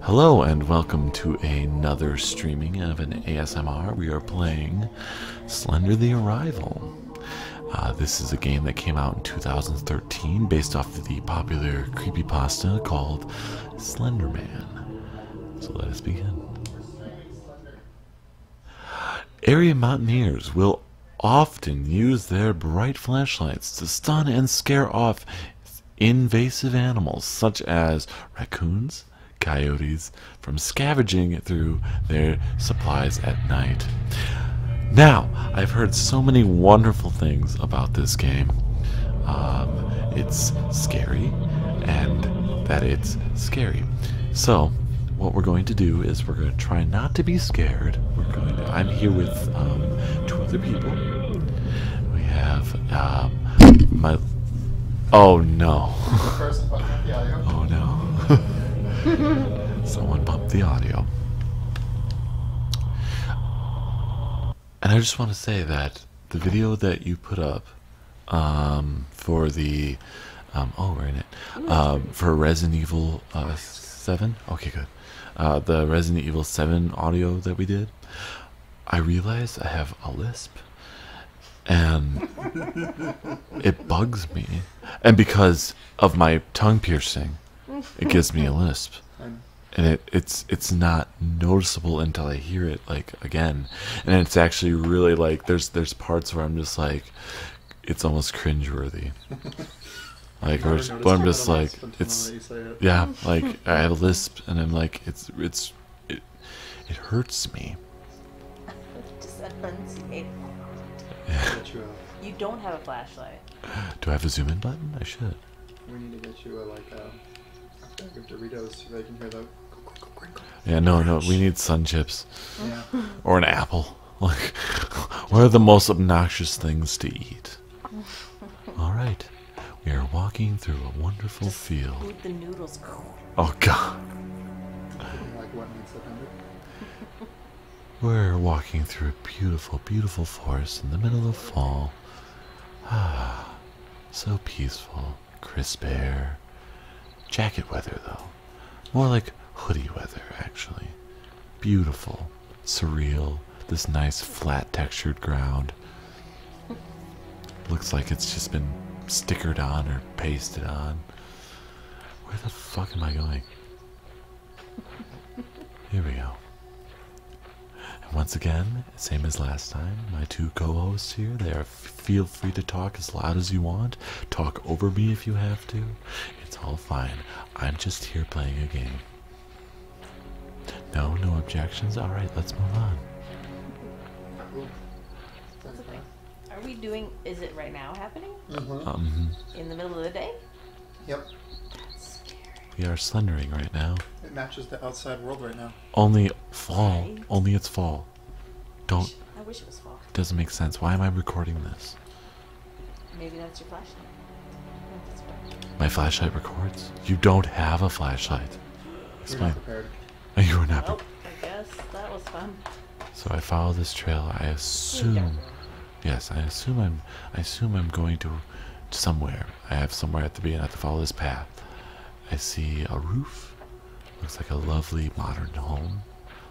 Hello and welcome to another streaming of an ASMR. We are playing Slender the Arrival. Uh, this is a game that came out in 2013 based off of the popular creepypasta called Slender Man. So let us begin. Area mountaineers will often use their bright flashlights to stun and scare off invasive animals such as raccoons, coyotes from scavenging through their supplies at night. Now, I've heard so many wonderful things about this game. Um, it's scary, and that it's scary. So, what we're going to do is we're going to try not to be scared. We're going to, I'm here with um, two other people. We have um, my. Oh no! oh no! Someone bumped the audio. And I just want to say that the video that you put up um, for the oh we're in it for Resident Evil uh, Seven. Okay, good. Uh, the Resident Evil Seven audio that we did. I realize I have a lisp and it bugs me. And because of my tongue piercing, it gives me a lisp. And it, it's it's not noticeable until I hear it like again. And it's actually really like there's there's parts where I'm just like it's almost cringeworthy. Like, or, I'm just like, it's, yeah, like, I have a lisp, and I'm like, it's, it's, it, it hurts me. You don't have a flashlight. Do I have a zoom in button? I should. We need to get you like, a bag of Doritos so they can hear the. Yeah, no, no, we need sun chips. Or an apple. Like, what are the most obnoxious things to eat? All right. We are walking through a wonderful field. Oh God. We're walking through a beautiful, beautiful forest in the middle of fall. Ah, so peaceful, crisp air. Jacket weather, though. More like hoodie weather, actually. Beautiful surreal. This nice flat textured ground. Looks like it's just been stickered on or pasted on. Where the fuck am I going? Here we go. And once again, same as last time, my two co-hosts here, they are feel free to talk as loud as you want. Talk over me if you have to. It's all fine. I'm just here playing a game. No, no objections. All right, let's move on. Are we doing? Is it right now happening? Mm-hmm. Um, In the middle of the day? Yep. we are slendering right now. It matches the outside world right now. Only fall. Only it's fall. Don't. I wish it was fall. Doesn't make sense. Why am I recording this? Maybe that's your flashlight. My flashlight records. You don't have a flashlight. Explain. Oh, you were not. Oh, so I follow this trail. I assume. Yes, I assume I'm. I assume I'm going to somewhere. I have somewhere I have to be, and I have to follow this path. I see a roof. Looks like a lovely modern home.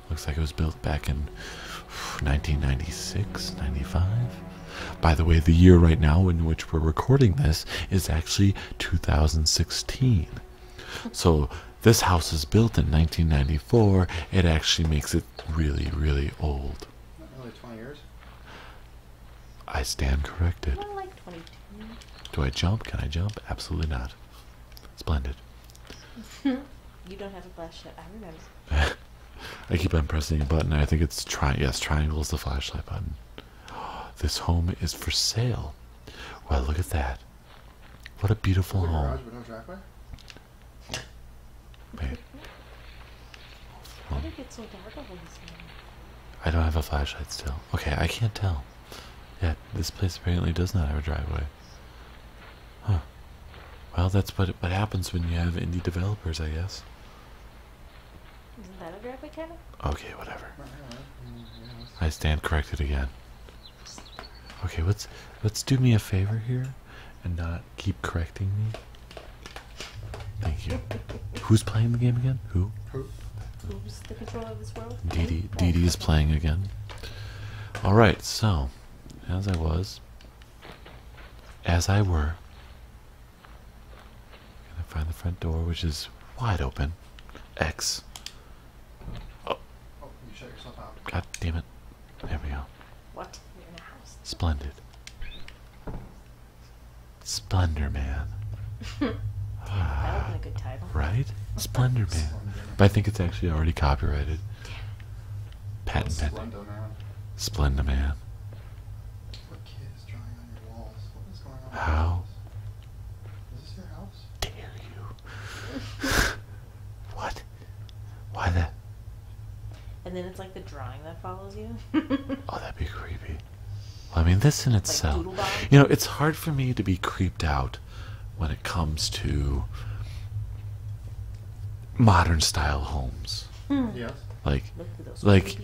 Looks like it was built back in 1996, 95. By the way, the year right now in which we're recording this is actually 2016. So this house is built in 1994. It actually makes it really, really old. Only 20 years. I stand corrected. like 22. Do I jump? Can I jump? Absolutely not. Splendid. you don't have a flashlight. I remember. I keep on pressing a button. I think it's tri. Yes, triangle is the flashlight button. This home is for sale. Well, look at that. What a beautiful home. Wait. I don't have a flashlight still. Okay, I can't tell. Yeah, this place apparently does not have a driveway. Huh. Well, that's what what happens when you have indie developers, I guess. Isn't that a graphic title? Okay, whatever. I stand corrected again. Okay, let's let's do me a favor here, and not keep correcting me. Thank you. Who's playing the game again? Who? Who's the controller of this world? Dee Dee, Dee, Dee is playing again. All right, so as I was, as I were, can I find the front door, which is wide open? X. Oh. oh you shut yourself out. God damn it. There we go. What? You're in the house. Splendid. Splendor Man. that would be a good title. Right? Splendor Man. But I think it's actually already copyrighted. Patent pending. Splendor Man this your house? dare you? what? Why that? And then it's like the drawing that follows you. oh, that'd be creepy. I mean, this in itself. you know, it's hard for me to be creeped out when it comes to modern style homes. Hmm. Yes. Like, like,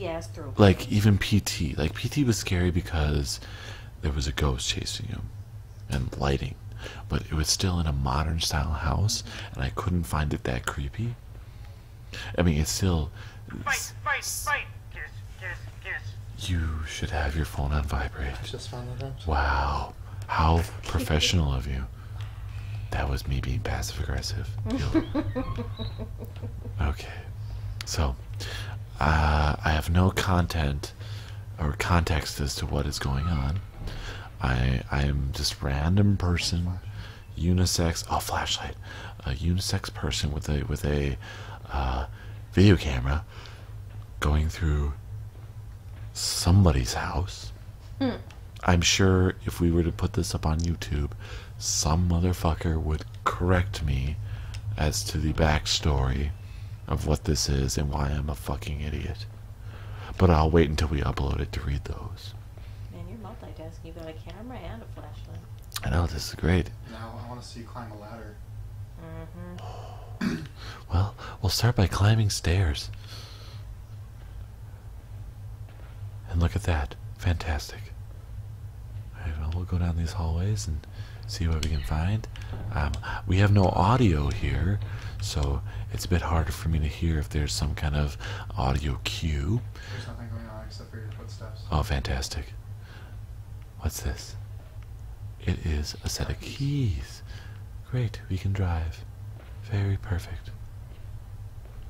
like even PT. Like PT was scary because there was a ghost chasing him, and lighting, but it was still in a modern style house, and I couldn't find it that creepy. I mean, it's still. Fight, fight, fight. Kiss, kiss, kiss. You should have your phone on vibrate. just found that out. Wow, how professional of you. That was me being passive aggressive. okay. So, uh, I have no content or context as to what is going on. I I am just random person, unisex. Oh, flashlight. A unisex person with a with a uh, video camera going through somebody's house. Hmm. I'm sure if we were to put this up on YouTube, some motherfucker would correct me as to the backstory of what this is and why I'm a fucking idiot. But I'll wait until we upload it to read those. Man, you're multitasking. You've got a camera and a flashlight. I know, this is great. Now I want to see you climb a ladder. Mm-hmm. well, we'll start by climbing stairs. And look at that. Fantastic. we'll go down these hallways and see what we can find. Um, we have no audio here, so it's a bit harder for me to hear if there's some kind of audio cue. There's nothing going on except for your footsteps. Oh, fantastic. What's this? It is a set of keys. Great, we can drive. Very perfect.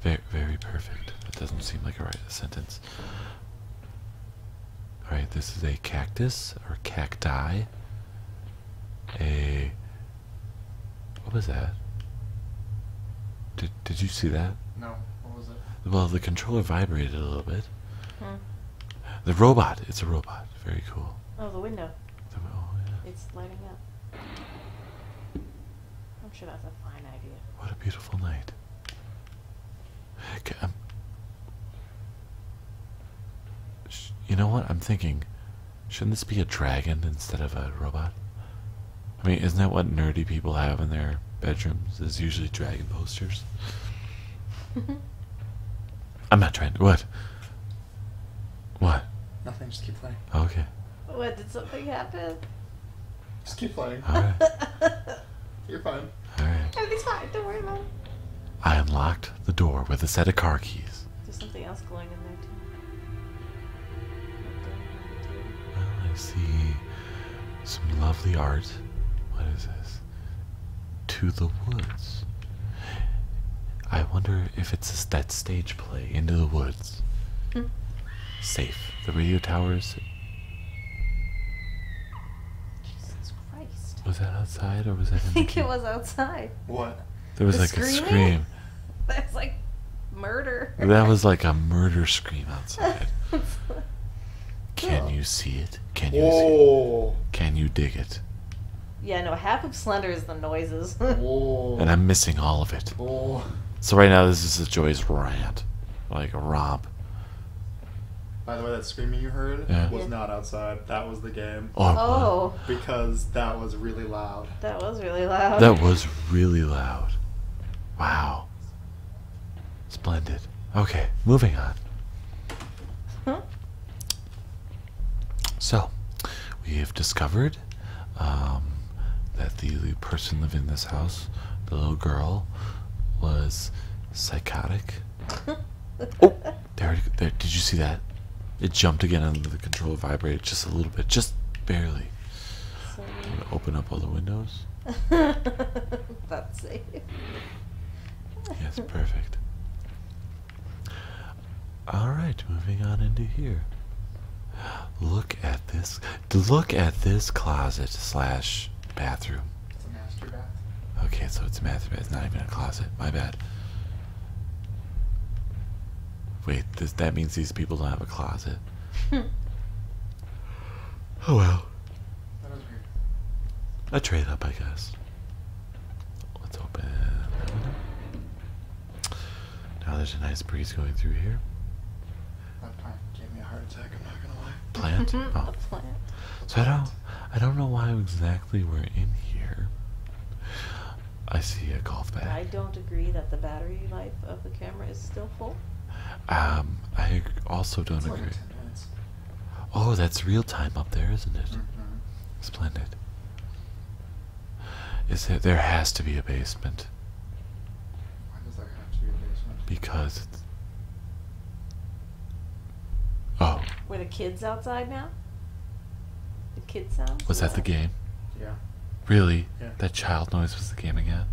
very perfect. That doesn't seem like a right sentence. All right, this is a cactus or cacti. A what was that? Did did you see that? No. What was it? Well, the controller vibrated a little bit. Hmm. The robot. It's a robot. Very cool. Oh, the window. The, oh, It's lighting up. I'm sure that's a fine idea. What a beautiful night. Um, you know what? I'm thinking. Shouldn't this be a dragon instead of a robot? I mean, isn't that what nerdy people have in their bedrooms? Is usually dragon posters. I'm not trying to. What? What? Nothing, just keep playing. Okay. What, did something happen? Just keep flying. You're fine. Everything's fine. Don't worry about I unlocked the door with a set of car keys. There's something else going in there, too. Well, I see some lovely art. What is this? To the Woods. I wonder if it's that stage play, Into the Woods. Hmm. Safe. The radio towers Jesus Christ. Was that outside or was that? I think it was outside. What? There was like a scream. That's like murder. That was like a murder scream outside. Can you see it? Can you see it? Can you dig it? Yeah, no, half of Slender is the noises. and I'm missing all of it. So right now this is a Joy's rant. Like Rob, by the way, that screaming you heard was not outside. That was the game. Oh, oh, Because that was really loud. That was really loud. That was really loud. Wow. Splendid. Okay, moving on. So, we have discovered um, that the person living in this house, the little girl, was psychotic. oh, there, Did you see that? It jumped again under the control vibrated just a little bit, just barely. open up all the windows. That's it. Yes, perfect. All right, moving on into here. Look at this look at this closet slash bathroom. Okay, so it's a master bath. It's not even a closet. My bad. Wait, this, that means these people don't have a closet. Hmm. oh well. That was weird. A trade up, I guess. Let's open Now there's a nice breeze going through here. That plant gave me a heart attack. I'm not gonna lie. Plant? oh. plant. So I don't, I don't know why exactly we're in here. I see a golf bag. I don't agree that the battery life of the camera is still full. Um, I also don't agree. oh, that's real time up there, isn't it? Mm-hmm. Splendid. Is it? There has to be a basement. Why does there have to be a basement? Because Oh. Were the kids outside now? The kids sounds? Was that the game? Yeah. Really? Yeah. That child noise was the game again?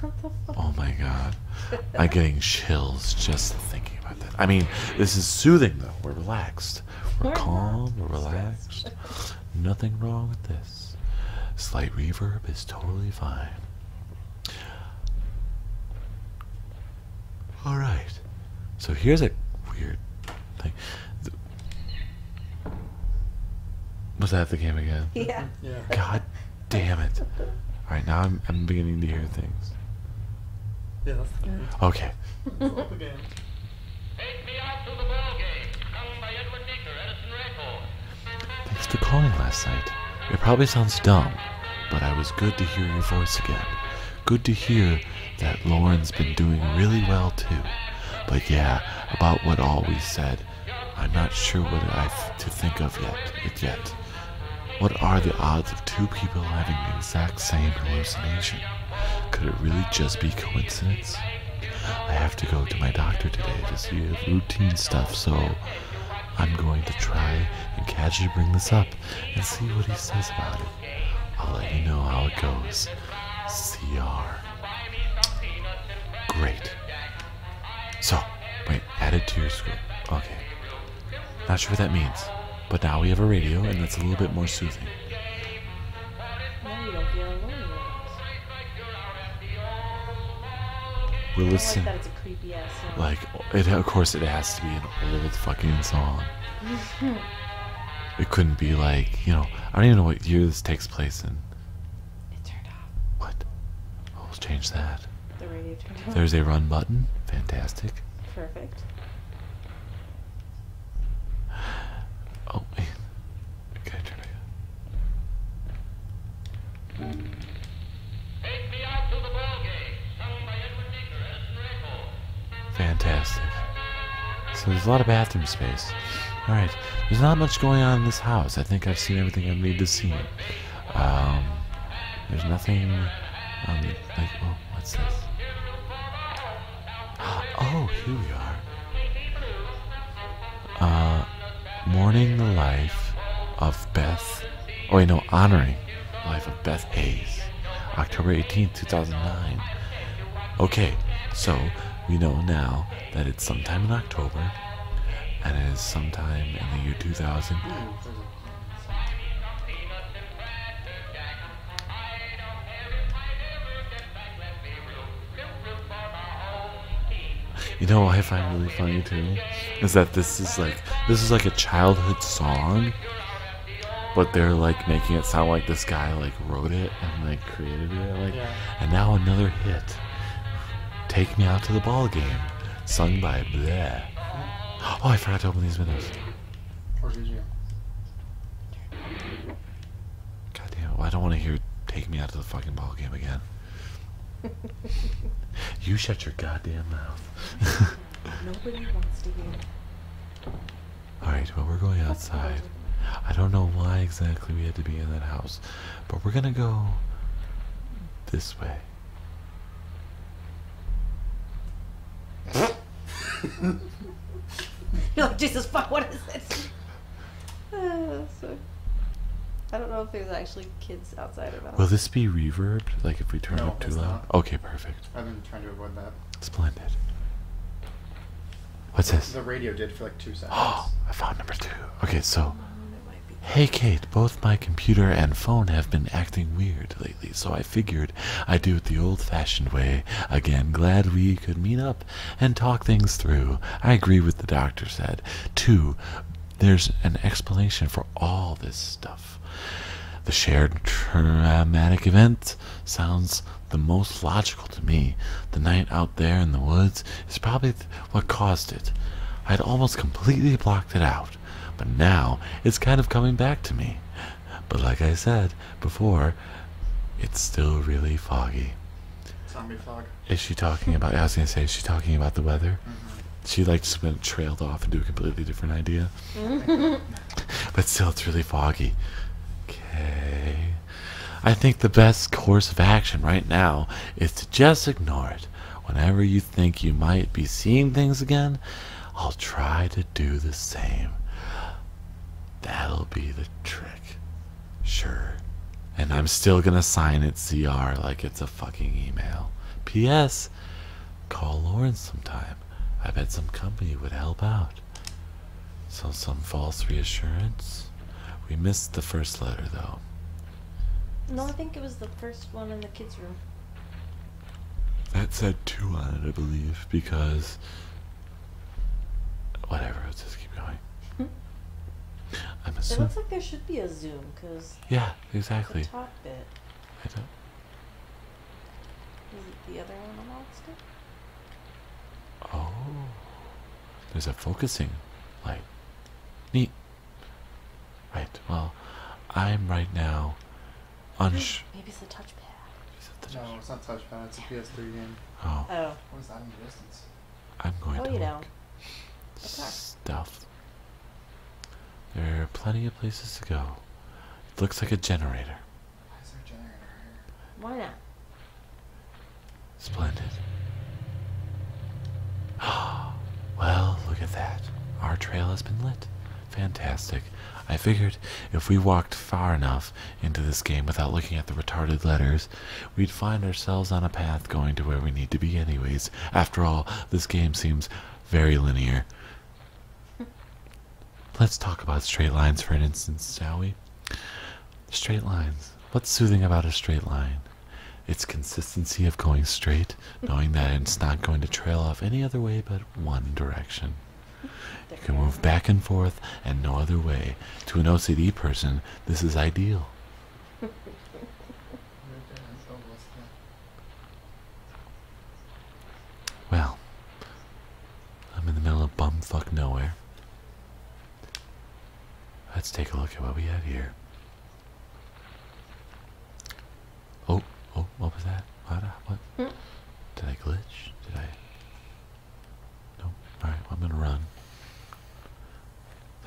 What the Oh my god. I'm getting chills just thinking about that. I mean, this is soothing though. We're relaxed. we're calm. We're relaxed. Nothing wrong with this. Slight reverb is totally fine. All right. So here's a weird thing. was that the game again? Yeah. God damn it. All right, now I'm, beginning to hear things. Yeah, Okay. that's the game. Take Thanks for calling last night. It probably sounds dumb, but I was good to hear your voice again. Good to hear that Lauren's been doing really well too. But yeah, about what all we said, I'm not sure what I've to think of yet. It yet. What are the odds of two people having the exact same hallucination? Could it really just be coincidence? I have to go to my doctor today to see routine stuff, so I'm going to try and catch you bring this up and see what he says about it. I'll let you know how it goes. CR. Great. So, wait, Add it to your script. Okay. Not sure what that means, but now we have a radio and that's a little bit more soothing. We Listen, like it, of course, it has to be an old fucking song. it couldn't be like you know. I don't even know what year this takes place in. It turned off. What? Oh, we'll change that. The radio turned off. There's a run button. Fantastic. Perfect. Oh Okay, turn Fantastic. So there's a lot of bathroom space. Alright, there's not much going on in this house. I think I've seen everything I need to see. Um, there's nothing like, oh, what's this? Oh, here we are. Uh, mourning the life of Beth. Oh, you know, honoring the life of Beth Hayes, October 18th, 2009. Okay, so we know now that it's sometime in October, and it is sometime in the year 2000. You know what I find really funny too is that this is like this is like a childhood song, but they're like making it sound like this guy like wrote it and like created it like, and now another hit. Take me out to the ball game, sung by Blair. Oh, I forgot to open these windows. God damn it! Well, I don't want to hear "Take Me Out to the Fucking Ball Game" again. you shut your goddamn mouth. Alright, well, we're going outside. I don't know why exactly we had to be in that house, but we're gonna go this way. You're like, Jesus fuck, what is this? Ah, I don't know if there's actually kids outside of us. Will this be reverbed? Like if we turn no, it too loud? Okay, perfect. I've been trying to avoid that. Splendid. What's this? The radio did for like two seconds. Oh, I found number two. Okay, so. Oh, hey Kate, both my computer and phone have been acting weird lately, so I figured I'd do it the old fashioned way. Again, glad we could meet up and talk things through. I agree with the doctor said. Two, there's an explanation for all this stuff. The shared traumatic event sounds the most logical to me. The night out there in the woods is probably what caused it. i had almost completely blocked it out, but now it's kind of coming back to me. But like I said before, it's still really foggy. Zombie fog. Is she talking about? I was gonna say, is she talking about the weather? Mm -hmm. She like just went trailed off into a completely different idea. Mm-hmm. but still, it's really foggy. Okay. I think the best course of action right now is to just ignore it. Whenever you think you might be seeing things again, I'll try to do the same. That'll be the trick. Sure. And I'm still gonna sign it CR like it's a fucking email. P.S. Call Lauren sometime. I bet some company would help out. So, some false reassurance? We missed the first letter, though. No, I think it was the first one in the kids' room. That said two on it, I believe, because. Whatever, let's just keep going. Hmm? I'm assuming. It looks like there should be a Zoom, because yeah, exactly. The I don't. Is it the other one on stick? Oh, there's a focusing light. Neat. Right. Well, I'm right now. Unsh. Maybe it's a touchpad. the no, it's not touchpad. It's a PS3 game. Oh. Oh. What is that in the distance? I'm going oh, to you know. Stuff there are plenty of places to go. It looks like a generator. Why is there a generator Why not? Splendid. well, look at that. Our trail has been lit. Fantastic. I figured if we walked far enough into this game without looking at the retarded letters, we'd find ourselves on a path going to where we need to be anyways. After all, this game seems very linear. Let's talk about straight lines for an instance, shall we? Straight lines. What's soothing about a straight line? Its consistency of going straight, knowing that it's not going to trail off any other way but one direction. You can move back and forth and no other way. To an OCD person, this is ideal. Well, I'm in the middle of bumfuck nowhere. Let's take a look at what we have here. Oh, oh, what was that? What? Uh, what? Hmm? Did I glitch? Did I? No. All right, well, I'm gonna run.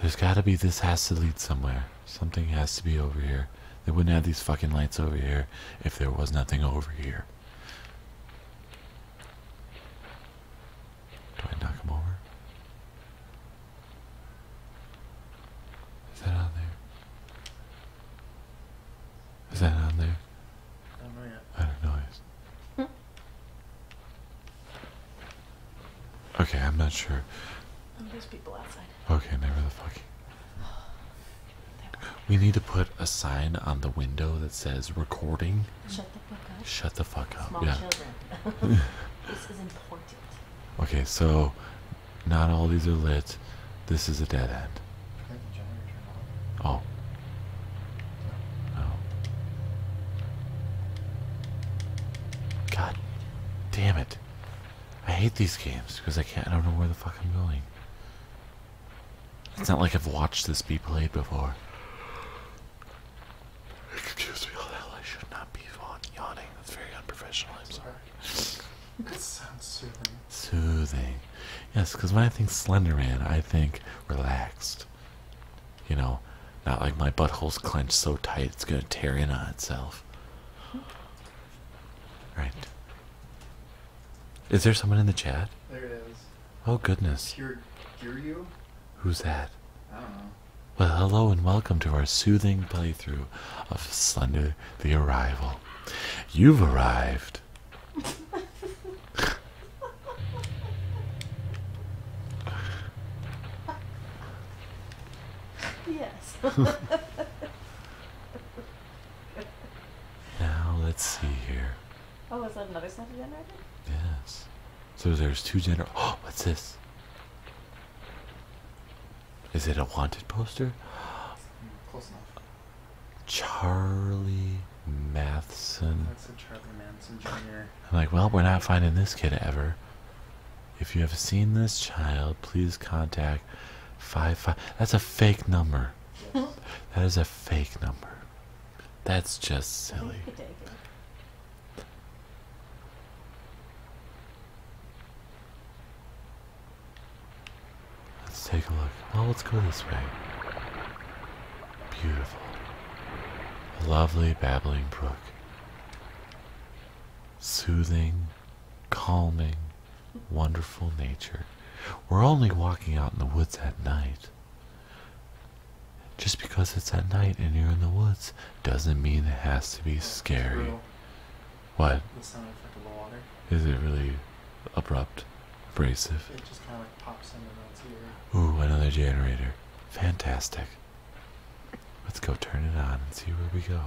There's gotta be, this has to lead somewhere. Something has to be over here. They wouldn't have these fucking lights over here if there was nothing over here. Do I knock them over? Is that on there? Is that on there? I don't know. I don't know. Okay, I'm not sure. Oh, there's people outside. Okay, never the fucking. We need to put a sign on the window that says recording. Shut the fuck up. Shut the fuck up. yeah. Okay, so not all these are lit. This is a dead end. Oh. Oh. God damn it. I hate these games because I can't. I don't know where the fuck I'm going. It's not like I've watched this be played before. It confused me all oh, the hell. I should not be yawning. That's very unprofessional. I'm sorry. That sounds soothing. Soothing. Yes, because when I think Slender Man, I think relaxed. You know, not like my butthole's clenched so tight it's going to tear in on itself. Right. Is there someone in the chat? There it is. Oh goodness. Hear, Who's that? Well, hello and welcome to our soothing playthrough of Slender the Arrival. You've arrived. yeah. now let's see here. Oh, is that another sample generator? Yes. So there's two gener. Oh, what's this? Is it a wanted poster? Charlie Matheson. That's a Charlie Manson Jr. I'm like, well, we're not finding this kid ever. If you have seen this child, please contact five five. That's a fake number. that is a fake number. That's just silly. Let's take a look. Oh, let's go this way. Beautiful. A lovely babbling brook. Soothing calming, wonderful nature. We're only walking out in the woods at night. Just because it's at night and you're in the woods doesn't mean it has to be scary. Brutal. What? The sound effect of the water. Is it really abrupt, abrasive? It just kind of like pops in the Ooh, another generator. Fantastic. Let's go turn it on and see where we go.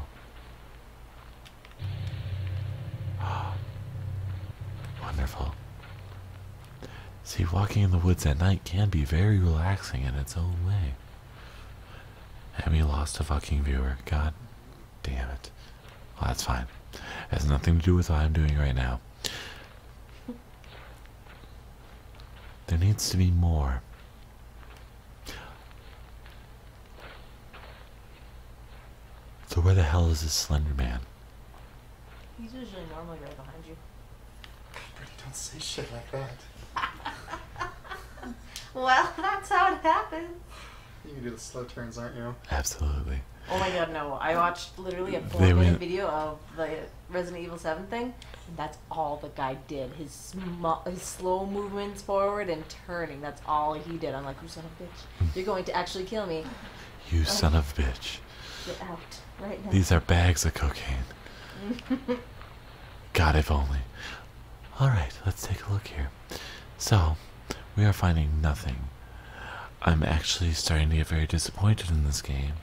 Wonderful. See, walking in the woods at night can be very relaxing in its own way. And we lost a fucking viewer. God damn it. Well, that's fine. It has nothing to do with what I'm doing right now. There needs to be more. So where the hell is this Slender Man? He's usually normally right behind you. Pretty don't say shit like that. well, that's how it happens. You can do the slow turns, aren't you? Absolutely. Oh my god, no. I watched literally a full video of the Resident Evil 7 thing, that's all the guy did. His slow movements forward and turning. That's all he did. I'm like, you son of a bitch. You're going to actually kill me. You son of a bitch. Get out right now. These are bags of cocaine. God, if only. All right, let's take a look here. So, we are finding nothing. I'm actually starting to get very disappointed in this game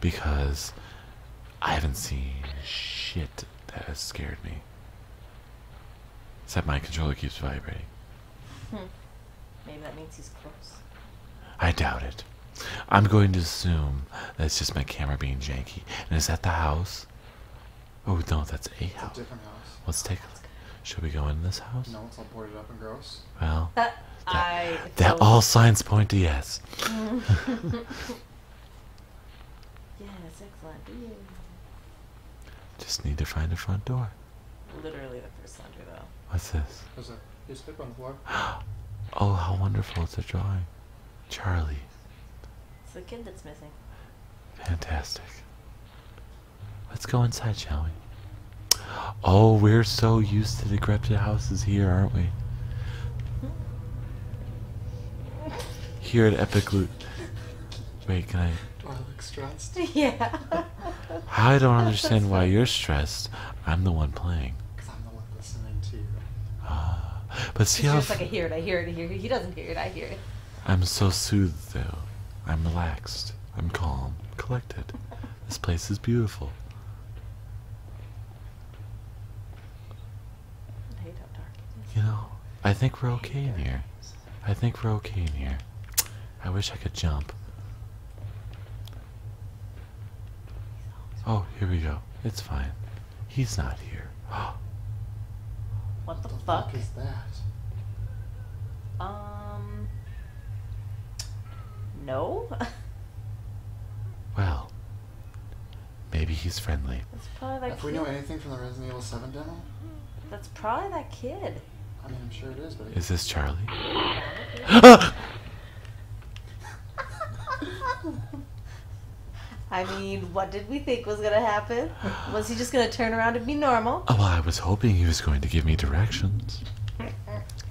because I haven't seen shit that has scared me. Except my controller keeps vibrating. Hmm. Maybe that means he's close. I doubt it. I'm going to assume that it's just my camera being janky. And is that the house? Oh no, that's a house. A different Let's take. A, look. should we go in this house? No, it's all boarded up and gross. Well, uh, that all signs point to yes. Yeah, it's excellent. Yay. Just need to find the front door. Literally the first laundry, though. What's this? What's that? There's paper on the floor. oh, how wonderful. It's a drawing. Charlie. It's the kid that's missing. Fantastic. Let's go inside, shall we? Oh, we're so used to decrepit houses here, aren't we? Hmm. here at Epic Loot. Wait, can I? Do I look stressed? Yeah. I don't understand why you're stressed. I'm the one playing. Because I'm the one listening to you. Ah, but see how. Just like I hear it, I hear it, I hear it. He doesn't hear it, I hear it. I'm so soothed though. I'm relaxed. I'm calm, collected. this place is beautiful. You know, I think we're okay in here. I think we're okay in here. I wish I could jump. Oh, here we go. It's fine. He's not here. what the, fuck? fuck is that? Um. No. well, Maybe he's friendly. if we know anything from the Resident Evil 7 demo? That's probably that kid. I mean, I'm sure it is, but... Is this Charlie? I mean, what did we think was going to happen? Was he just going to turn around and be normal? Oh, well, I was hoping he was going to give me directions.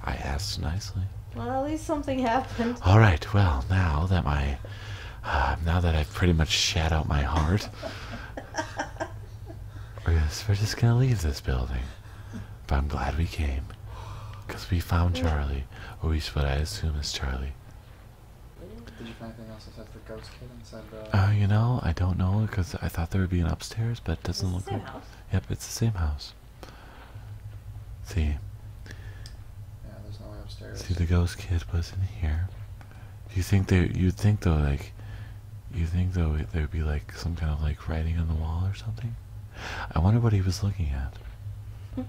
I asked nicely. Well, at least something happened. All right, well, now that my Ah, now that I've pretty much shat out my heart, we're just, gonna leave this building. But I'm glad we came. Because we found Charlie. Or at least what I assume is Charlie. Did you find anything else except the ghost kid inside the... Uh, you know, I don't know, because I thought there would be an upstairs, but it doesn't look like... House. Yep, it's the same house. See. Yeah, there's no way upstairs. See, the ghost kid was in here. You think they? You'd think though, like, you think though there'd be like some kind of like writing on the wall or something. I wonder what he was looking at. Hmm.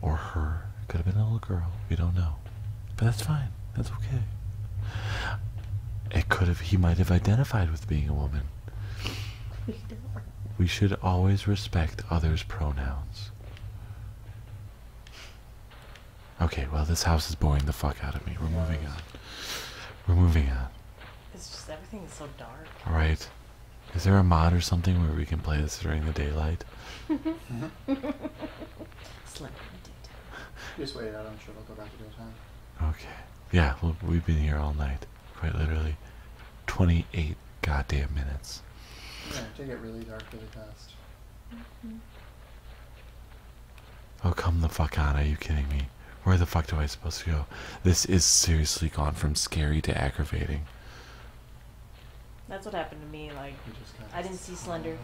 Or her. could have been a little girl. We don't know. But that's fine. That's okay. It could have. He might have identified with being a woman. We should always respect others' pronouns. Okay, well, this house is boring the fuck out of me. We're moving on. We're moving on. It's just everything is so dark. Alright. Is there a mod or something where we can play this during the daylight? Slim mm-hmm. Just wait out. I'm sure we'll go back to your time. Okay. Yeah, well, we've been here all night. Quite literally. 28 God damn minutes. Yeah, it get really dark really fast. Mm-hmm. Oh, come the fuck out! Are you kidding me? Where the fuck do I supposed to go? This is seriously gone from scary to aggravating. That's what happened to me. Like, I didn't see Slender.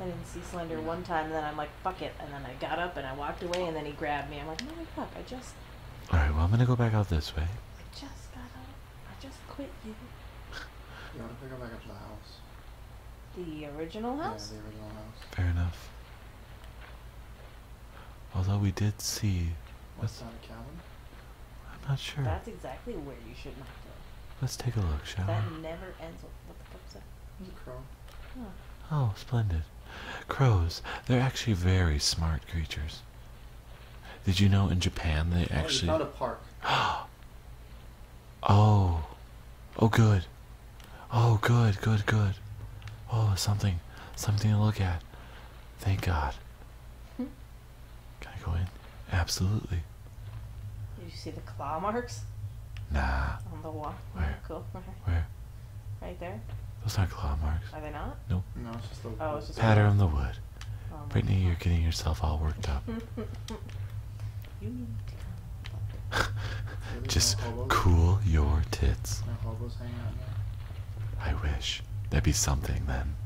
I didn't see Slender one time, and then I'm like, fuck it. And then I got up and I walked away, and then he grabbed me. I'm like, no, fuck, I just. Alright, well, I'm gonna go back out this way. I just got up. I just quit you. You want to pick back up to the house? The original house? Yeah, the original house. Fair enough. Although we did see. What's that a cabin? I'm not sure. That's exactly where you should not go. Let's take a look, shall we? That never ends with. What the fuck is that? It's Oh, splendid. Crows. They're actually very smart creatures. Did you know in Japan they actually? Oh, a park. oh, oh, good. Oh, good, good, good. Oh, something, something to look at. Thank God. Hmm? Can I go in? Absolutely. Did you see the claw marks? Nah. On the wall. Where? Oh, cool. Right Where? Right there. Those aren't claw marks. Are they not? Nope. No, it's just the. Oh, it's just. Pattern on the wood. Oh Brittany, you're getting yourself all worked up. Just cool your tits. I wish. That'd be something then.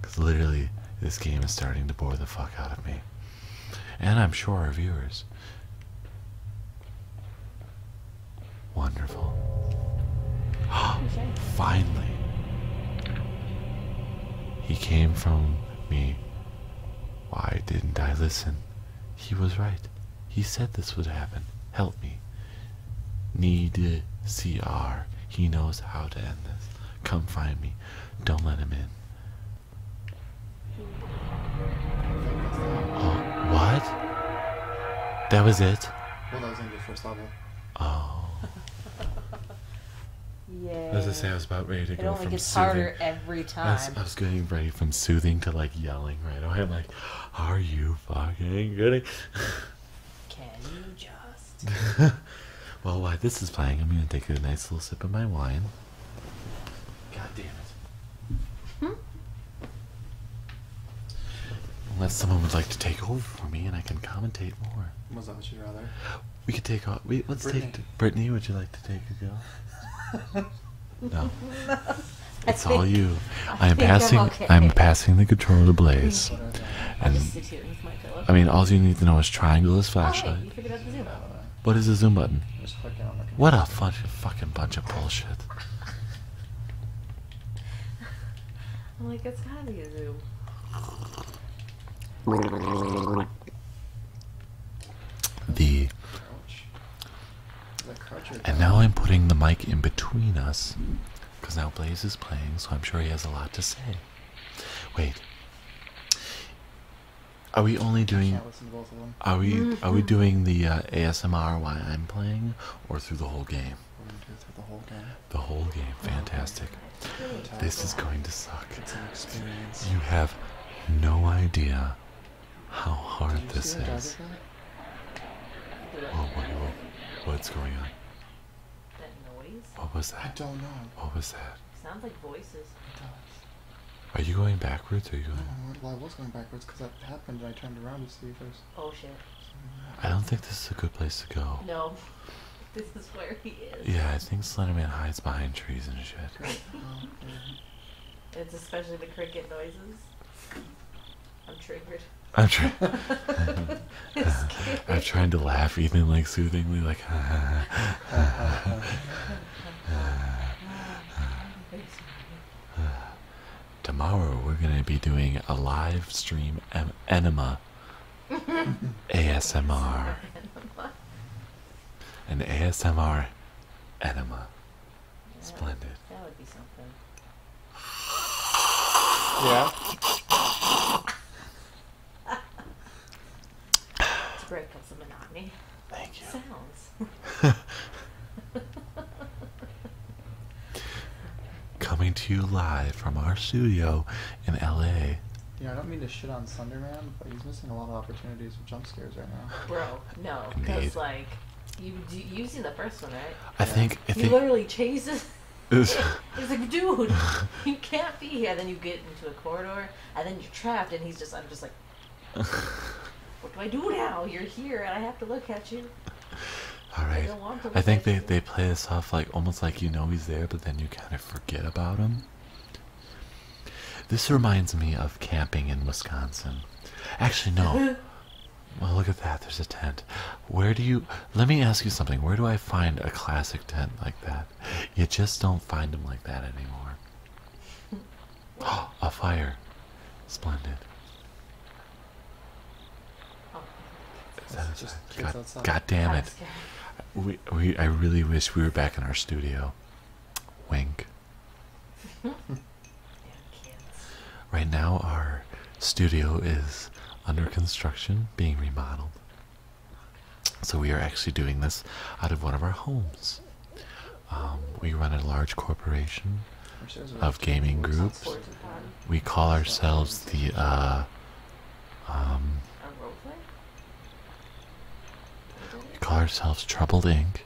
Because literally, this game is starting to bore the fuck out of me. And I'm sure our viewers. Wonderful. Finally. He came from me. Why didn't I listen? He was right. He said this would happen. Help me. Need CR. He knows how to end this. Come find me. Don't let him in. Oh, what? That was it? Oh. Yeah. As I say, I was about ready to it go only from gets soothing. harder every time. I was, getting ready from soothing to like yelling right away. Oh, I'm like, "Are you fucking kidding?" Can you just? well, while this is playing, I'm gonna take a nice little sip of my wine. God damn it! Hmm? Unless someone would like to take over for me, and I can commentate more. Was that what you'd rather? We could take off. let's Brittany. take Brittany. Would you like to take a go? no. It's all you. I, am passing. I'm, passing the controller to Blaze. and I mean, all you need to know is triangle is flashlight. what is the zoom button? What a fun, fucking bunch of bullshit. I'm like, a zoo. The and now I'm putting the mic in between us because now Blaze is playing, so I'm sure he has a lot to say. Wait, are we only doing? Are we are we doing the uh, ASMR while I'm playing, or through the whole game? We're gonna do it through the whole game the whole game. Fantastic. This is going to suck. You have no idea how hard this is. Oh, What's going on? That noise? What was that? I don't know. What was that? Sounds like voices. It does. Are you going backwards? Or are you going? I was going backwards because that happened, and I turned around to see if there's. Oh shit. I don't think this is a good place to go. No. This is where he is. Yeah, I think Slenderman hides behind trees and shit. it's especially the cricket noises. I'm triggered. I'm trying. I'm trying to laugh, Ethan, like soothingly, like. Tomorrow we're gonna be doing a live stream enema ASMR. An ASMR enema. Splendid. That would be something. Yeah. to break up the monotony. Thank you. Sounds. coming to you live from our studio in LA. You know, I don't mean to shit on Thunderman, but he's missing a lot of opportunities with jump scares right now. Bro, no, because like you you see the first one, right? I think I he literally chases. He's like, dude, you can't be here. And then you get into a corridor, and then you're trapped, and he's just, I'm just like, what do I do now? You're here, and I have to look at you. All right. I, think they they play this off like almost like you know he's there, but then you kind of forget about him. This reminds me of camping in Wisconsin. Actually, no. well, look at that. There's a tent. Where do you? Let me ask you something. Where do I find a classic tent like that? You just don't find them like that anymore. a fire. Splendid. God, damn it. I really wish we were back in our studio. Wink. right now, our studio is under construction, being remodeled. So, we are actually doing this out of one of our homes. Um, we run a large corporation of gaming groups. We call ourselves the uh, um, a role play? We call ourselves Troubled Ink.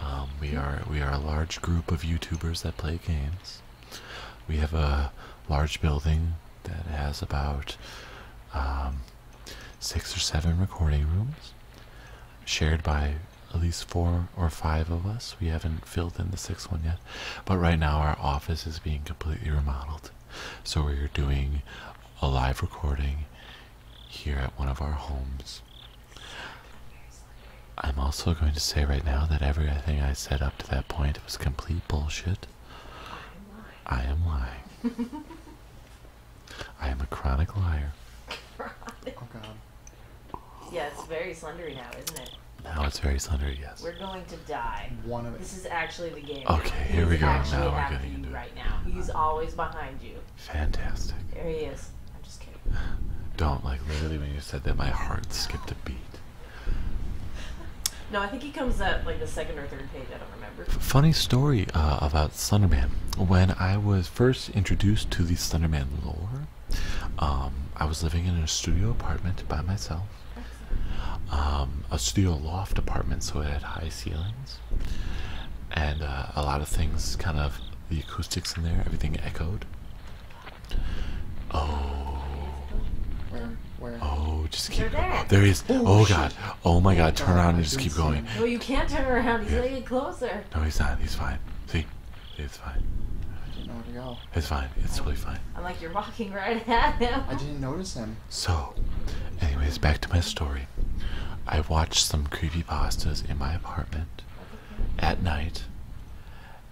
Um, we are we are a large group of YouTubers that play games. We have a large building that has about um, six or seven recording rooms, shared by at least four or five of us. We haven't filled in the sixth one yet, but right now our office is being completely remodeled. So we're doing a live recording here at one of our homes. I'm also going to say right now that everything I said up to that point was complete bullshit. I am lying. I am a chronic liar. Oh god. Yeah, it's very slendery now, isn't it? Now it's very slender, yes. We're going to die. One of this is actually the game. Okay, here we go. Now we're getting into right it. now. He's always behind you. Fantastic. There he is. I'm just kidding. Don't like literally when you said that my heart skipped a beat. No, I think he comes at like the second or third page. I don't remember. Funny story uh, about Slenderman. When I was first introduced to the Slenderman lore, um, I was living in a studio apartment by myself, um, a studio loft apartment, so it had high ceilings, and uh, a lot of things kind of the acoustics in there, everything echoed. Oh, oh, just keep. There. there he is. Oh, oh god. Oh my god. Turn around and just keep going. No, you can't turn around. He's getting closer. No, he's not. He's fine. See, he's fine. Oh. It's fine. It's totally fine. I'm like, you're walking right at him. I didn't notice him. So, anyways, back to my story. I watched some creepy pastas in my apartment at night,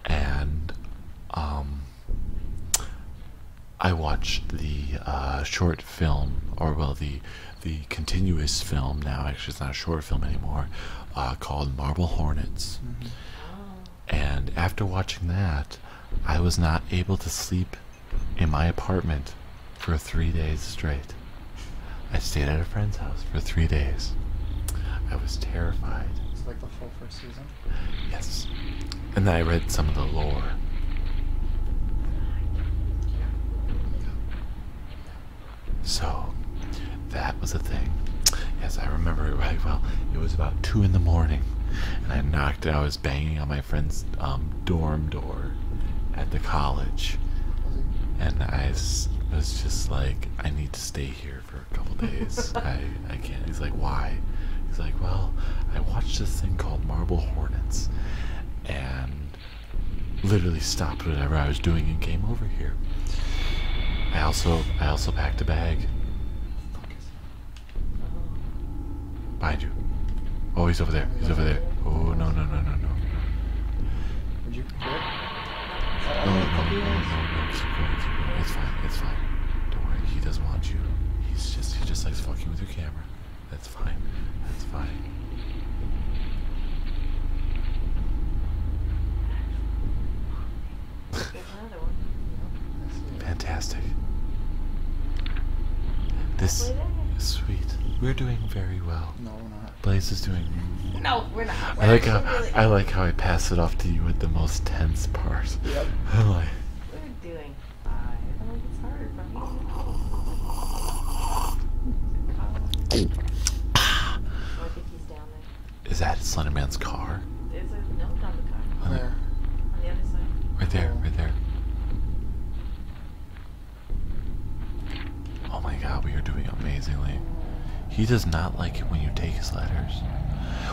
and um, I watched the uh, short film, or well, the the continuous film now. Actually, it's not a short film anymore. Uh, called Marble Hornets. Mm-hmm. Oh. And after watching that, I was not able to sleep in my apartment for three days straight. I stayed at a friend's house for three days. I was terrified. It's like the full first season? Yes. And then I read some of the lore. So, that was the thing. Yes, I remember it right well. It was about 2 in the morning, and I knocked out banging on my friend's um, dorm door at the college, and I was just like, I need to stay here for a couple days. I I can't. He's like, why? He's like, well, I watched this thing called Marble Hornets, and literally stopped whatever I was doing and came over here. I also I also packed a bag. Behind you. Oh, he's over there. He's over there. Oh, no, no, no, no, no. Would you no, no, no, no, no, keep going, keep going. It's fine, it's fine. Don't worry, he doesn't want you. He's just, he just likes fucking with your camera. That's fine, that's fine. Fantastic. This is sweet. We're doing very well. No, we're not. Blaze is doing. No, we're not. I like how I like how I pass it off to you at the most tense part. Yep. i like. We're doing fine. I think it's harder for me. Is oh, think he's down there. Is that Slenderman's car? car. There's a note on the car. Where? Where? On the other side. Right there, right there. Oh my god, we are doing amazingly. He does not like it when you take his letters.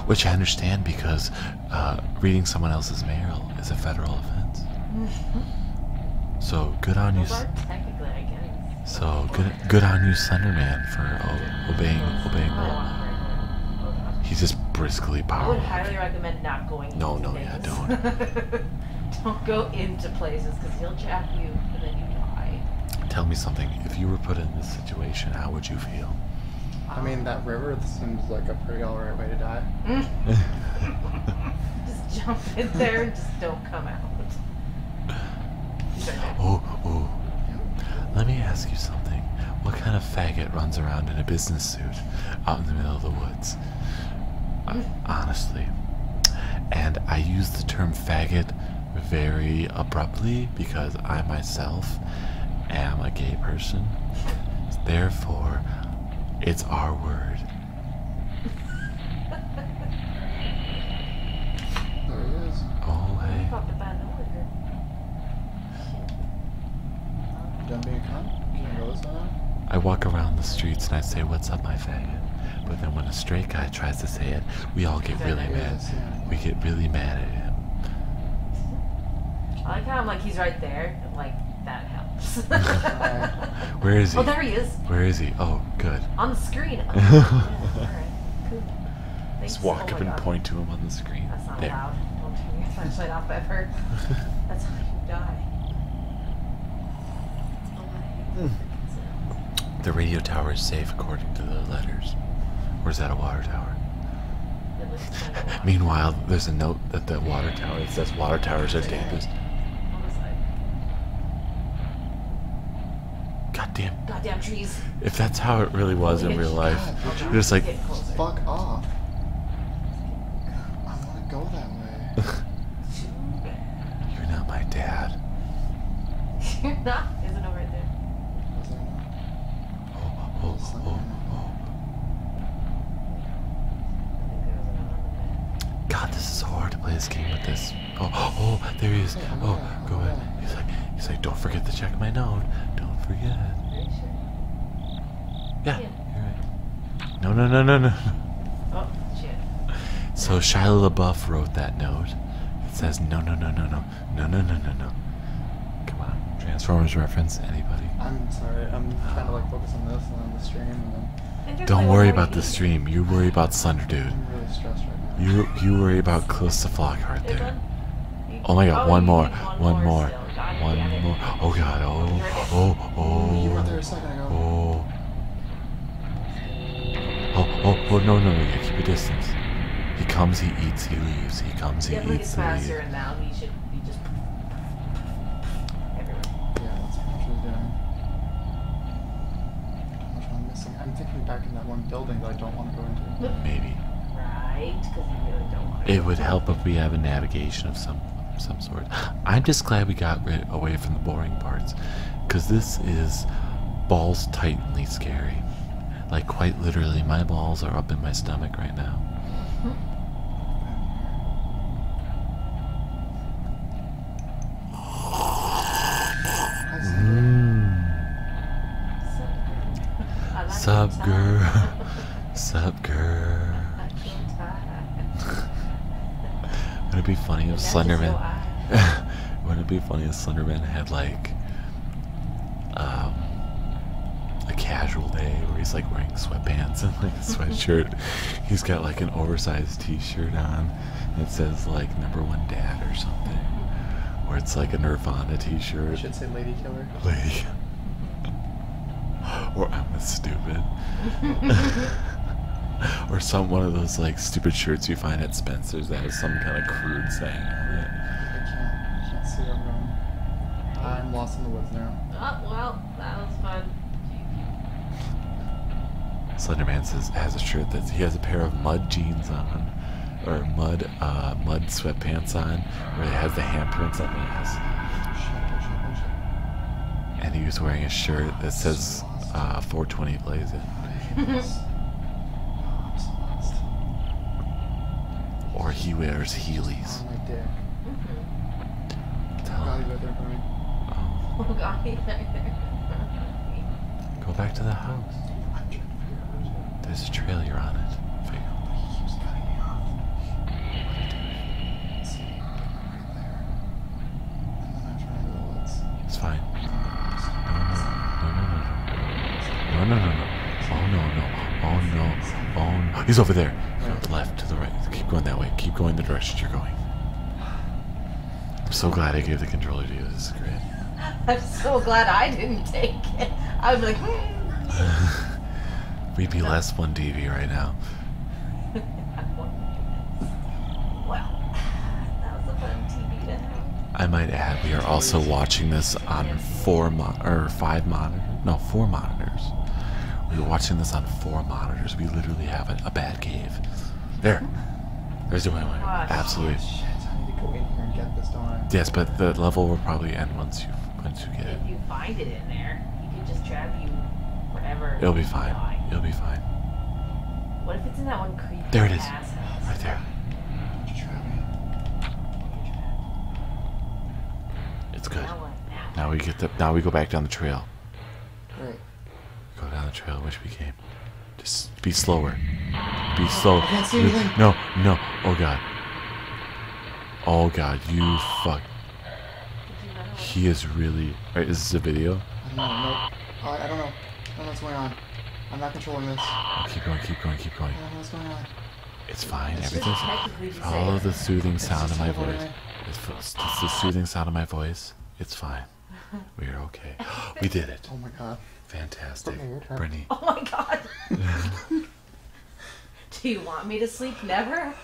Which I understand because uh, reading someone else's mail is a federal offense. Mm-hmm. so good on you. So good, good on you, Slenderman, for obeying obeying. He's just briskly powerful. I would highly recommend not going. No, no, things. yeah, don't. don't go into places because he'll jack you and then you die. Tell me something. If you were put in this situation, how would you feel? I mean, that river seems like a pretty alright way to die. Mm. just jump in there and just don't come out. Oh, oh. Let me ask you something. What kind of faggot runs around in a business suit? out in the middle of the woods. honestly. And I use the term faggot very abruptly because I myself am a gay person. Therefore, it's our word. there it is. Oh, hey. I walk around the streets and I say, what's up, my faggot? But then when a straight guy tries to say it, we all get really mad. We get really mad at him. I like how I'm like, he's right there. like, that helps. Where is he? Oh, there he is. Where is he? Oh, good. On the screen. Oh, Just walk up and point to him on the screen that's not there. Don't turn your flashlight off ever. that's how you die. The radio tower is safe according to the letters. Or is that a water tower? Meanwhile, there's a note that the water tower says water towers are dangerous. Goddamn. Goddamn trees. If that's how it really was in real life, you just like, fuck off. I want to go that way. You're not my dad. You're not. There's a note there. Was there not? Oh, oh, oh, oh, oh. God, this is so hard to play this game with this. Oh, oh, there he is. Oh, go ahead. He's like, he's like, don't forget to check my note. Don't forget. Yeah, yeah. Right. No, no, no, no, no. Oh, shit. So Shia LaBeouf wrote that note. It says, no, no, no, no, no, no, no, no, no, no. Come on. Transformers reference, anybody? I'm sorry. I'm trying to like focus on this and on the stream. And then... Don't like, worry about the stream. You worry about Sunder, dude. I'm really stressed right now. You, you worry about Calista Flockhart there. Oh my god, oh, one more, one more, one more, one more. Oh god. Oh. Oh. Oh. You were there a second ago. Oh. Oh. Oh. Oh. No. No. No. Yeah. Keep a distance. He comes. He eats. He leaves. He comes. He Definitely eats. He leaves. faster and now he should be just. Everywhere. Yeah, that's actually doing. I'm thinking back in that one building that I don't want to go into. Maybe. It would help if we have a navigation of some some sort. I'm just glad we got rid away from the boring parts, because this is balls tightly scary. Like quite literally, my balls are up in my stomach right now. Mm. Sub girl. Sup, girl? Would it be funny if Slenderman? Wouldn't it be funny if Slenderman had like um, a casual day where he's like wearing sweatpants and like a sweatshirt? he's got like an oversized T-shirt on that says like number one dad or something, where it's like a Nirvana T-shirt. Should say Lady Lady. or I'm a stupid. or some one of those like stupid shirts you find at Spencer's that has some kind of crude saying on it. I can't, see I'm lost in the woods now. Oh, well, that was fun. Slenderman says has a shirt that he has a pair of mud jeans on, or mud uh, mud sweatpants on, where it has the handprints on the ass. And he was wearing a shirt that says uh, 420 Blaze It. or he wears Heelys. Mm-hmm. Oh. God, Go back to the house. There's a trail you're on it. It's fine. No, no, no, no. No, no, no, no. Oh, no, no. Oh, no. Oh, no. He's over there. To the left, to the right. Keep going that way. Keep going the direction you're going. I'm so glad I gave the controller to you. This is great. I'm so glad I didn't take it. I was like, hmm. We'd be less 1DV right now. well, that was a fun TV I might add, we are also watching this on four mon or five monitors. No, four monitors. We are watching this on four monitors. We literally have a, bad cave. There. There's the way. Absolutely. Yes, but the level will probably end once you that's okay. If you find it in there, he could just trap you wherever. It'll be fine. It'll be fine. What if it's in that one creepy There it is. Right there. It's good. Now, we get the. Now we go back down the trail. Go down the trail which we came. Just be slower. Be slow. No, no. Oh god. Oh god, you fuck. He is really. is this a video? I don't know. I, don't know. I don't know what's going on. I'm not controlling this. Oh, keep going, keep going, keep going. I don't know what's going on. It's fine. It's Everything's. Follow the soothing sound of my voice. It's, it's the soothing sound of my voice. It's fine. We are okay. we did it. Oh my god. Fantastic. Brittany. Oh my god. Do you want me to sleep? Never.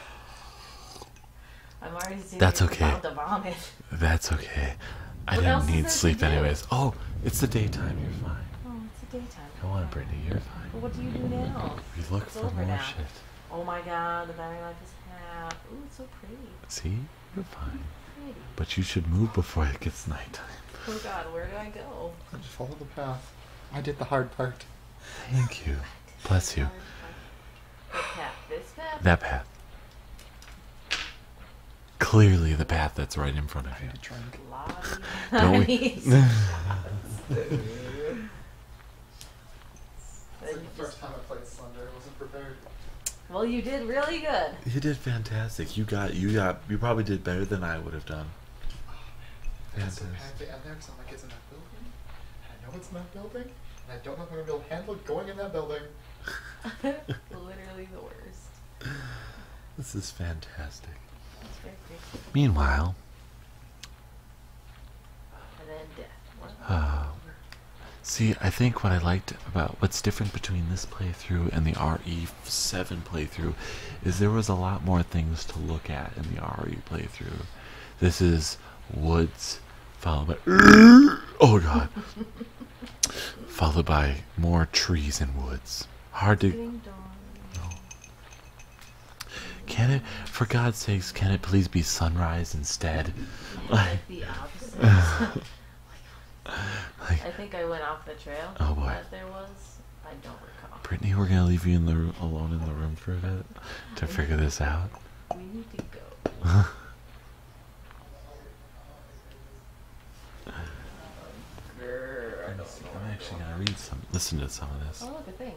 I'm already That's okay. That's okay. I what didn't need sleep anyways. Oh, it's the daytime. You're fine. Oh, it's the daytime. Come on, Brittany. You're fine. But what do you do now? We look it's for more now. shit. Oh my God, the battery life is half. Ooh, it's so pretty. See, you're fine. But you should move before it gets nighttime. Oh God, where do I go? I just follow the path. I did the hard part. Thank you. Bless you. That path. Clearly, the path that's right in front of you. Don't we? Well, you did really good. You did fantastic. You got you got you probably did better than I would have done. Oh, Fantastic building, I know it's in building, and I don't know if I'm gonna able to handle going in that building. Literally the worst. This is fantastic. Meanwhile, uh, see, I think what I liked about what's different between this playthrough and the RE7 playthrough is there was a lot more things to look at in the RE playthrough. This is woods, followed by oh god, followed by more trees and woods. Hard to. Can it, for God's sakes, can it please be sunrise instead? Like, like, I think I went off the trail. Oh boy. there was, I don't Brittany, we're gonna leave you alone in the room for a bit to figure this out. We need to go. I'm, actually gonna read some, listen to some of this. Oh look, thing.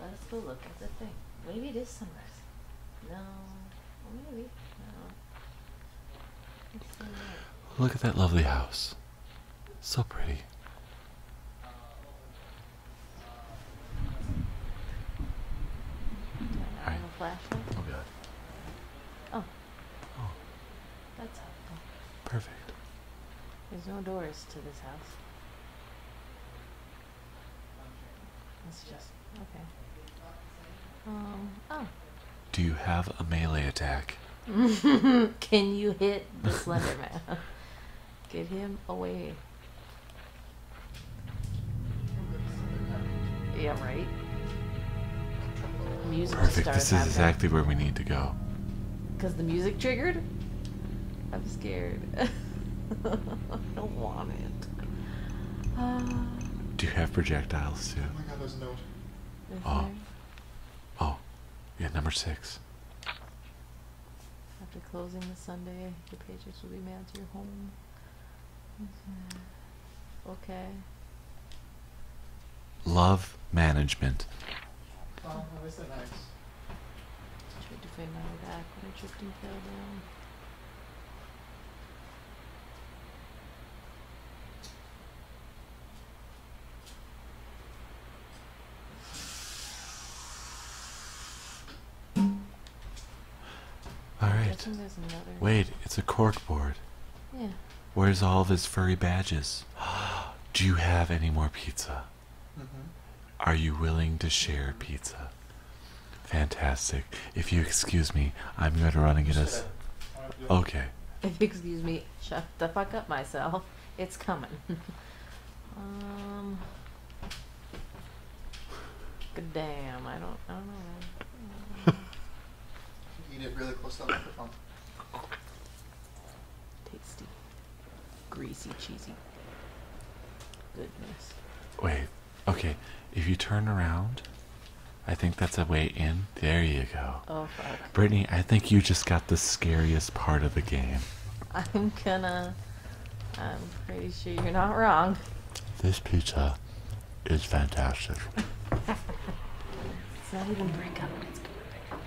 Let's go look at the thing. Maybe it is sunrise. No, maybe Look at that lovely house. So pretty. All right. Oh god. Oh. Oh. That's helpful. Perfect. There's no doors to this house. It's just okay. Um. Oh. Do you have a melee attack? Can you hit the Slender Man? Get him away. Yeah, right? Perfect. This is exactly where we need to go. Because the music triggered? I'm scared. I don't want it. Uh, Do you have projectiles too? Oh oh. oh. Yeah, number six. After closing the Sunday, your paychecks will be mailed to your home. Mm-hmm. Okay. Love management. Oh, that is nice. I to find my way back when I tripped and fell down. All right. Wait, it's a cork board. Yeah. Where's all of his furry badges? Do you have any more pizza? Mm -hmm. Are you willing to share pizza? Fantastic. If you excuse me, I'm going to run and get us. Okay. If you excuse me, shut the fuck up myself. It's coming. Um. Damn, I don't, I don't know. Eat it really close to the microphone. Tasty, greasy, cheesy. Goodness. Wait. Okay. If you turn around, I think that's a way in. There you go. Oh fuck. Brittany, I think you just got the scariest part of the game. I'm gonna. I'm pretty sure you're not wrong. This pizza is fantastic. it's not even break up, it's perfect.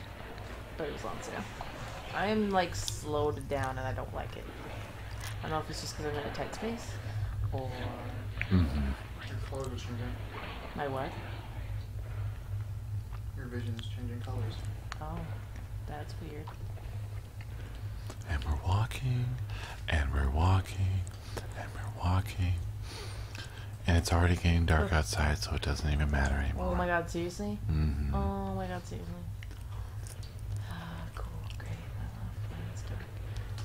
But it's was on sale. I'm like slowed down and I don't like it. I don't know if it's just because I'm in a tight space or. Mm-hmm. My what? Your vision is changing colors. Oh. That's weird. And we're walking, and we're walking, and we're walking. And it's already getting dark outside, so it doesn't even matter anymore. Oh my god, seriously? Mm-hmm. Oh my god, seriously. Ah, cool, great.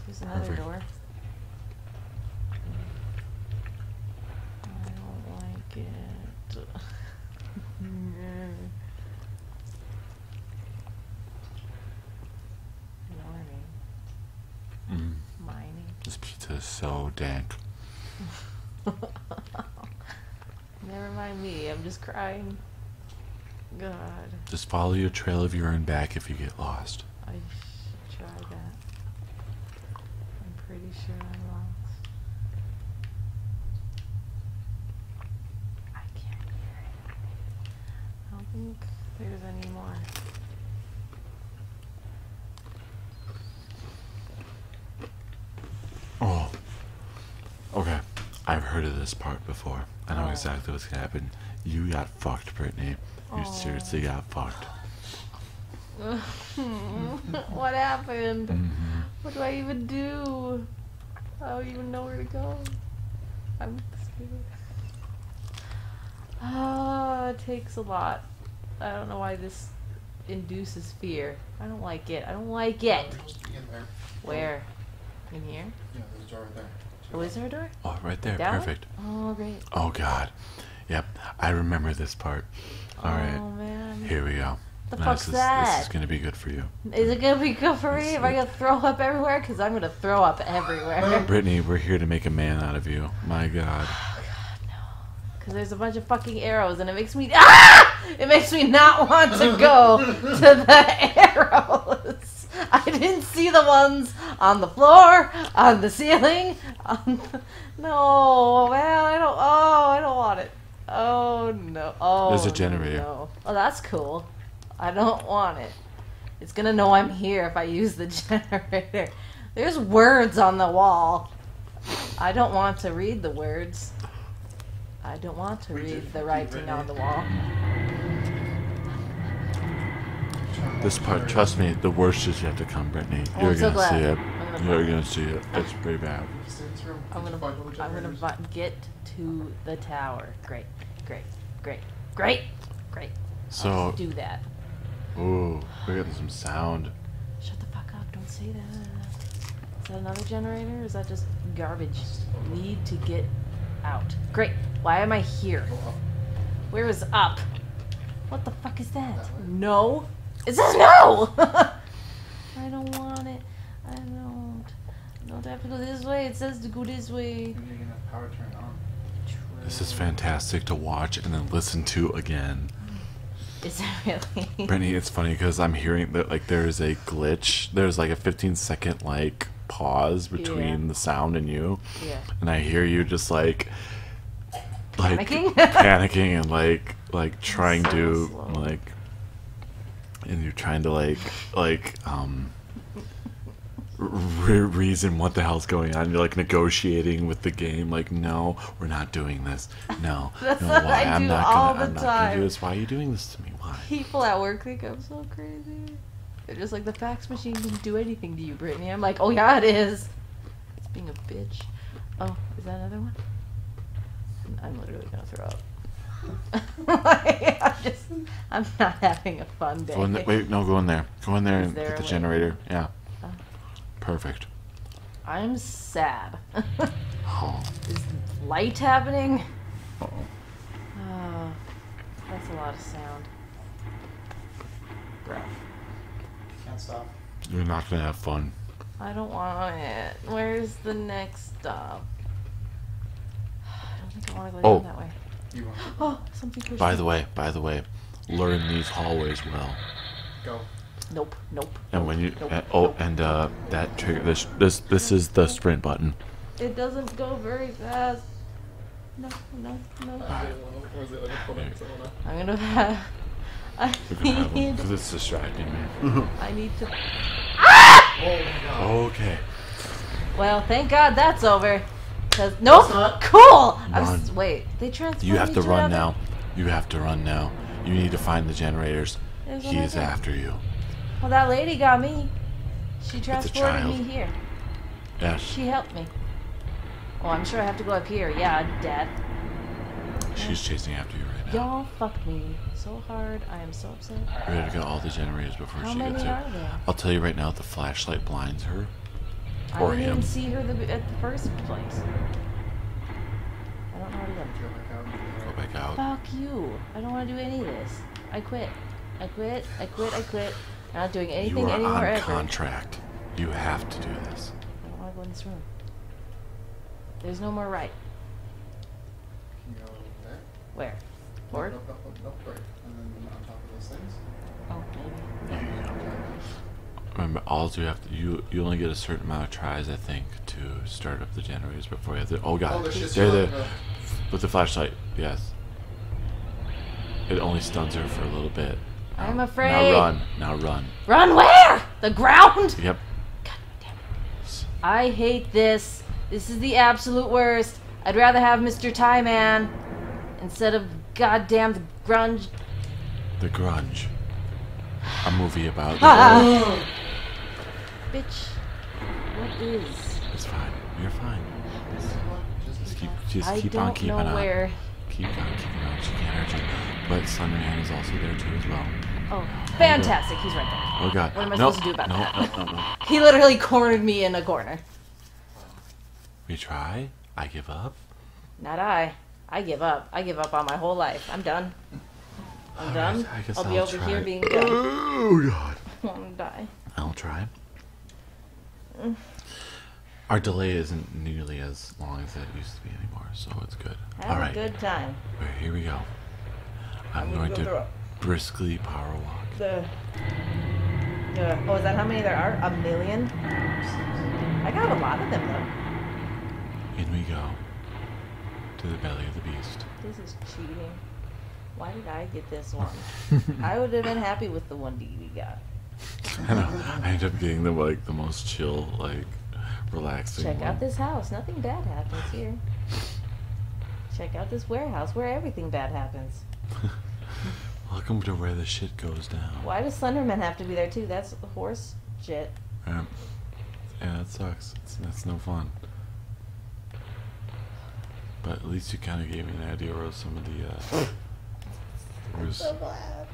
There's another door. Mm. I don't like it. Mm. Mining. This pizza is so dank. Never mind me, I'm just crying. God. Just follow your trail of urine back if you get lost. I should try that pretty sure I lost. I can't hear it. I don't think there's any more. Oh. Okay. I've heard of this part before. I know oh. exactly what's gonna happen. You got fucked, Brittany. You seriously oh. got fucked. what happened? What do I even do? I don't even know where to go. I'm scared. Ah, it takes a lot. I don't know why this induces fear. I don't like it. I don't like it. Where? In here? Yeah, there's door Oh, is there a door? Oh, right there. Perfect. Oh, great. Oh, God. Yep. I remember this part. All right. Oh, here we go. The fuck's this is, that? This is gonna be good for you. Is it gonna be good for me? Am I gonna throw up everywhere? Because I'm gonna throw up everywhere. Brittany, we're here to make a man out of you. My God. Oh God, no. Because there's a bunch of fucking arrows, and it makes me ah! It makes me not want to go to the arrows. I didn't see the ones on the floor, on the ceiling. No, man, I don't. Oh, I don't want it. Oh no! Oh, there's a generator. No. Oh, that's cool. I don't want it. It's gonna know I'm here if I use the generator. There's words on the wall. I don't want to read the words. I don't want to read the writing on the wall. This part, trust me, the worst is yet to come, Brittany. Oh, You're gonna see it. You're gonna see it. It's pretty bad. I'm gonna, get to the tower. Great, great, great, great, great. So- do that. Ooh, we're getting some sound. Shut the fuck up! Don't say that. Is that another generator? is that just garbage? Need to get out. Great. Why am I here? Where is up? What the fuck is that? That way. No. It says no. I don't want it. I don't. Don't have to go this way. It says to go this way. This is fantastic to watch and then listen to again. Is it really? Brittany, it's funny because I'm hearing that like there is a glitch. There's like a 15 second like pause between the sound and you. Yeah. And I hear you just like like panicking and like like trying to like and you're trying to like like um reason what the hell's going on you're like negotiating with the game like no we're not doing this no no why I am not gonna i'm not gonna do this why are you doing this to me why people at work they i so crazy they're just like the fax machine didn't do anything to you brittany i'm like oh yeah it is it's being a bitch Oh, is that another one? I'm literally gonna throw up. I'm just, I'm not having a fun day. wait, no, go in there. Go in there and get the generator. Yeah. Uh. Perfect. I'm sad. oh. Is light happening? Oh, that's a lot of sound. Breath. Can't stop. You're not gonna have fun. I don't want it. Where's the next stop? oh. Oh, By the way, by the way, learn these hallways well. Go. Nope, nope. And when you oh, uh, oh, and that trigger this this this is the sprint button. It doesn't go very fast. No, no, no. I'm gonna I need. Because it's distracting me. I need to. Ah! Oh, okay. Well, thank God that's over. No, Cool. Run. wait, they transferred. You have to run now. You have to run now. You need to find the generators. There's he is after you. Well, that lady got me. She transported me here. Yeah. She helped me. Well, oh, I'm sure I have to go up here. Yeah, Dad. She's chasing after you right now. Y'all Oh, fuck me. So hard. I am so upset. We have to get all the generators before How she many gets are there? I'll tell you right now, the flashlight blinds her. I or I didn't him. even see her the, at the first place. I don't know how to go. Go back out. Fuck you. I don't want to do any of this. I quit. I quit. I quit. I quit. I'm not doing anything you are anymore on ever. contract. You have to do this. I don't want to go in this room. There's no more right. Can you go there? Where? Forward? Nope, nope, nope, nope, right. And then on top of those things. Oh, maybe. Remember, all you have to you you only get a certain amount of tries, I think, to start up the generators before you have to. Oh god, oh, they're there, the, uh, with the flashlight, yes. It only stuns her for a little bit. I'm afraid. Now run, now run. Run where? The ground. Yep. Damn it is. I hate this. This is the absolute worst. I'd rather have Mr. Tie Man instead of goddamn the grunge. The grunge. A movie about. Ah! Bitch, what is? It's fine. You're fine. Just keep, just I keep on keeping on. Where. Keep on keeping on. She can't hurt you. But Sun Man is also there too as well. Oh, Fantastic. He's right there. Oh god. What am I supposed to do about nope. that? he literally cornered me in a corner. We try. I give up. Not I. I give up. I give up on my whole life. I'm done. I'm done. I will be over here being done. Oh god. I'm to die. I'll try. Our delay isn't nearly as long as it used to be anymore, so it's good. Have All right. good time. Here we go. I'm going to briskly power walk. oh, is that how many there are? A million? I got a lot of them, though. In we go to the belly of the beast. This is cheating. Why did I get this one? I would have been happy with the one Dee got. I know. I end up getting the like the most chill like Check out this house. Nothing bad happens here. Check out this warehouse where everything bad happens. Welcome to where the shit goes down. Why does Slenderman have to be there too? That's horse shit. Yeah, that sucks. that's no fun. But at least you kind of gave me an idea of some of the. Uh, I'm so glad.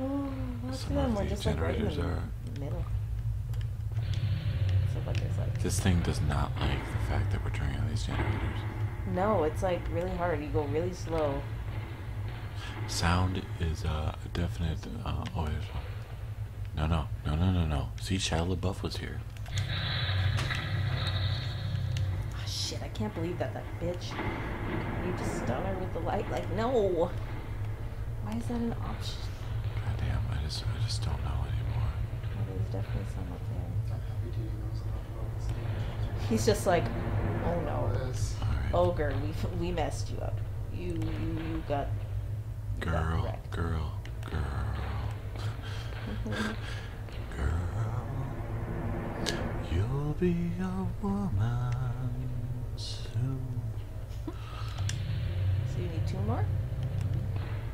Oh, some of the generators are middle. This thing does not like the fact that we're turning on these generators. No, it's like really hard. You go really slow. Sound is uh, a definite. Uh, oh, no, no, no, no, no, no. See, Shia LaBeouf was here. Oh, shit, I can't believe that that bitch. You just stun her with the light. Like, no. Why is that an option? Goddamn, I just, I just don't know anymore. there's definitely some there. He's just like, oh no, right. ogre, we we messed you up. You you, you got girl, girl, girl, girl. You'll be a woman soon. So you need two more?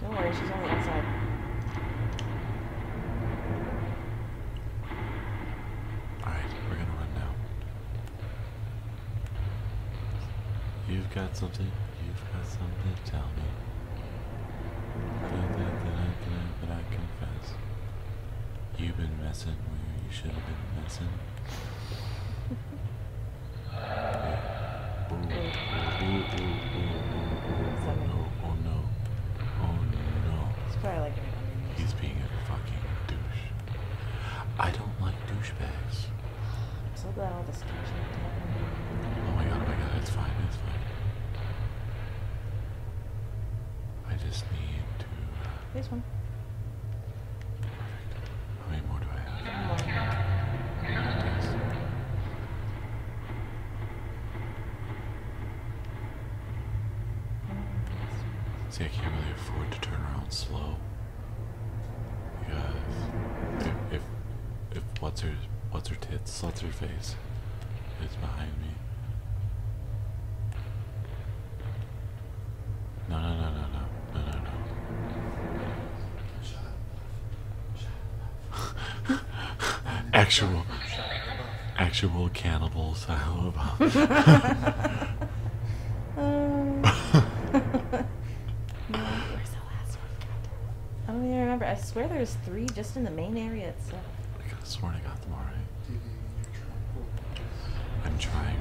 Don't worry, she's only inside. Alright, we're gonna run now. You've got something, you've got something to tell me. That, I confess. You've been messing where you should have been messing. Oh Oh He's like. being a fucking douche. I I don't douchebags. my oh my god! Oh god! fine. fine. just need to. Uh, this one. See, I can't really afford to turn around slow. Because if if, if what's her what's her tits, what's her face is behind me. No, no, no, no, no, no, no, actual, actual cannibals. I don't even remember. I swear there's three just in the main area itself. I could have sworn I got them all right. I'm trying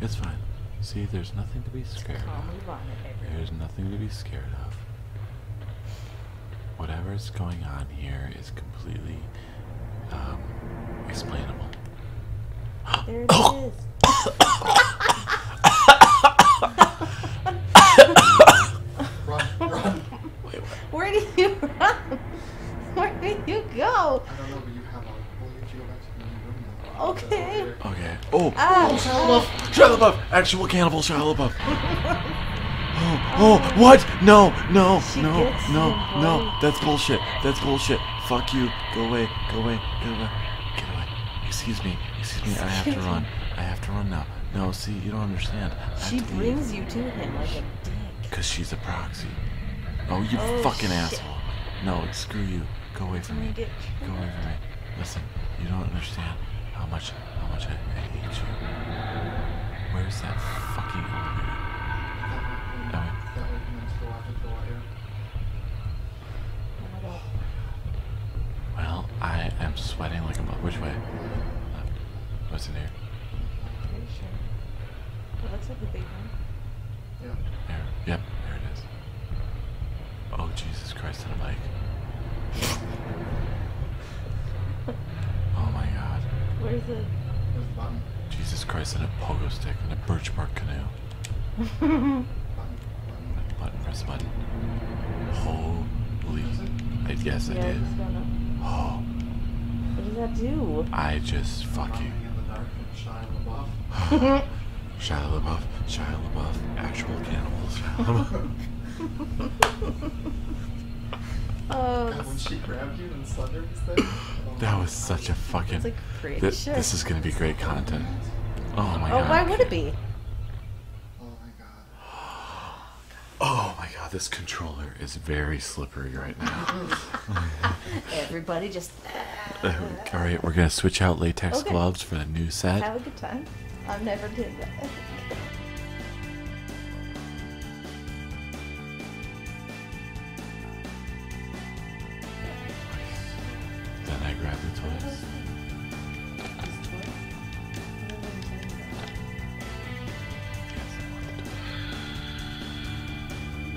It's fine. See, there's nothing to be scared of. There's nothing to be scared of. Whatever's going on here is completely um, explainable. There it is. Where did you run? Where did you go? Okay. Okay. Oh, ah, oh Shia Actual cannibal Shia oh, oh, what? No, no, no, no, no. That's bullshit. That's bullshit. Fuck you. Go away. Go away. Go away. Get away. Excuse me. Excuse me. I have to run. I have to run now. No, see, you don't understand. She brings you to him like a dick. Cause she's a proxy. Oh, you oh, fucking asshole. No, screw you. Go away from me. Go away from me. Listen, you don't understand how much, how much I, hate you. Where's that fucking elevator? That Well, I am sweating like a mother. Which way? Left. What's in here? Pretty sure. It looks like the big Yeah. There. Yep. There it is. Oh, Jesus Christ on a bike. oh my god. Where's it? the button? Jesus Christ on a pogo stick on a birch bark canoe. Holy. I, yes, I did. Oh. What does that do? I just fuck you. Shia LaBeouf, Shia LaBeouf, actual cannibals. oh, uh, God, when she grabbed you and slendered thing. Oh that was such a fucking. Like th shit. This is gonna be great content. Oh my oh, god. Oh, why would it be? Oh my god. Oh my god, this controller is very slippery right now. Everybody just all oh, right, we're gonna switch out latex gloves for the new set. Have a good time. I've never did that. then I grab the toys.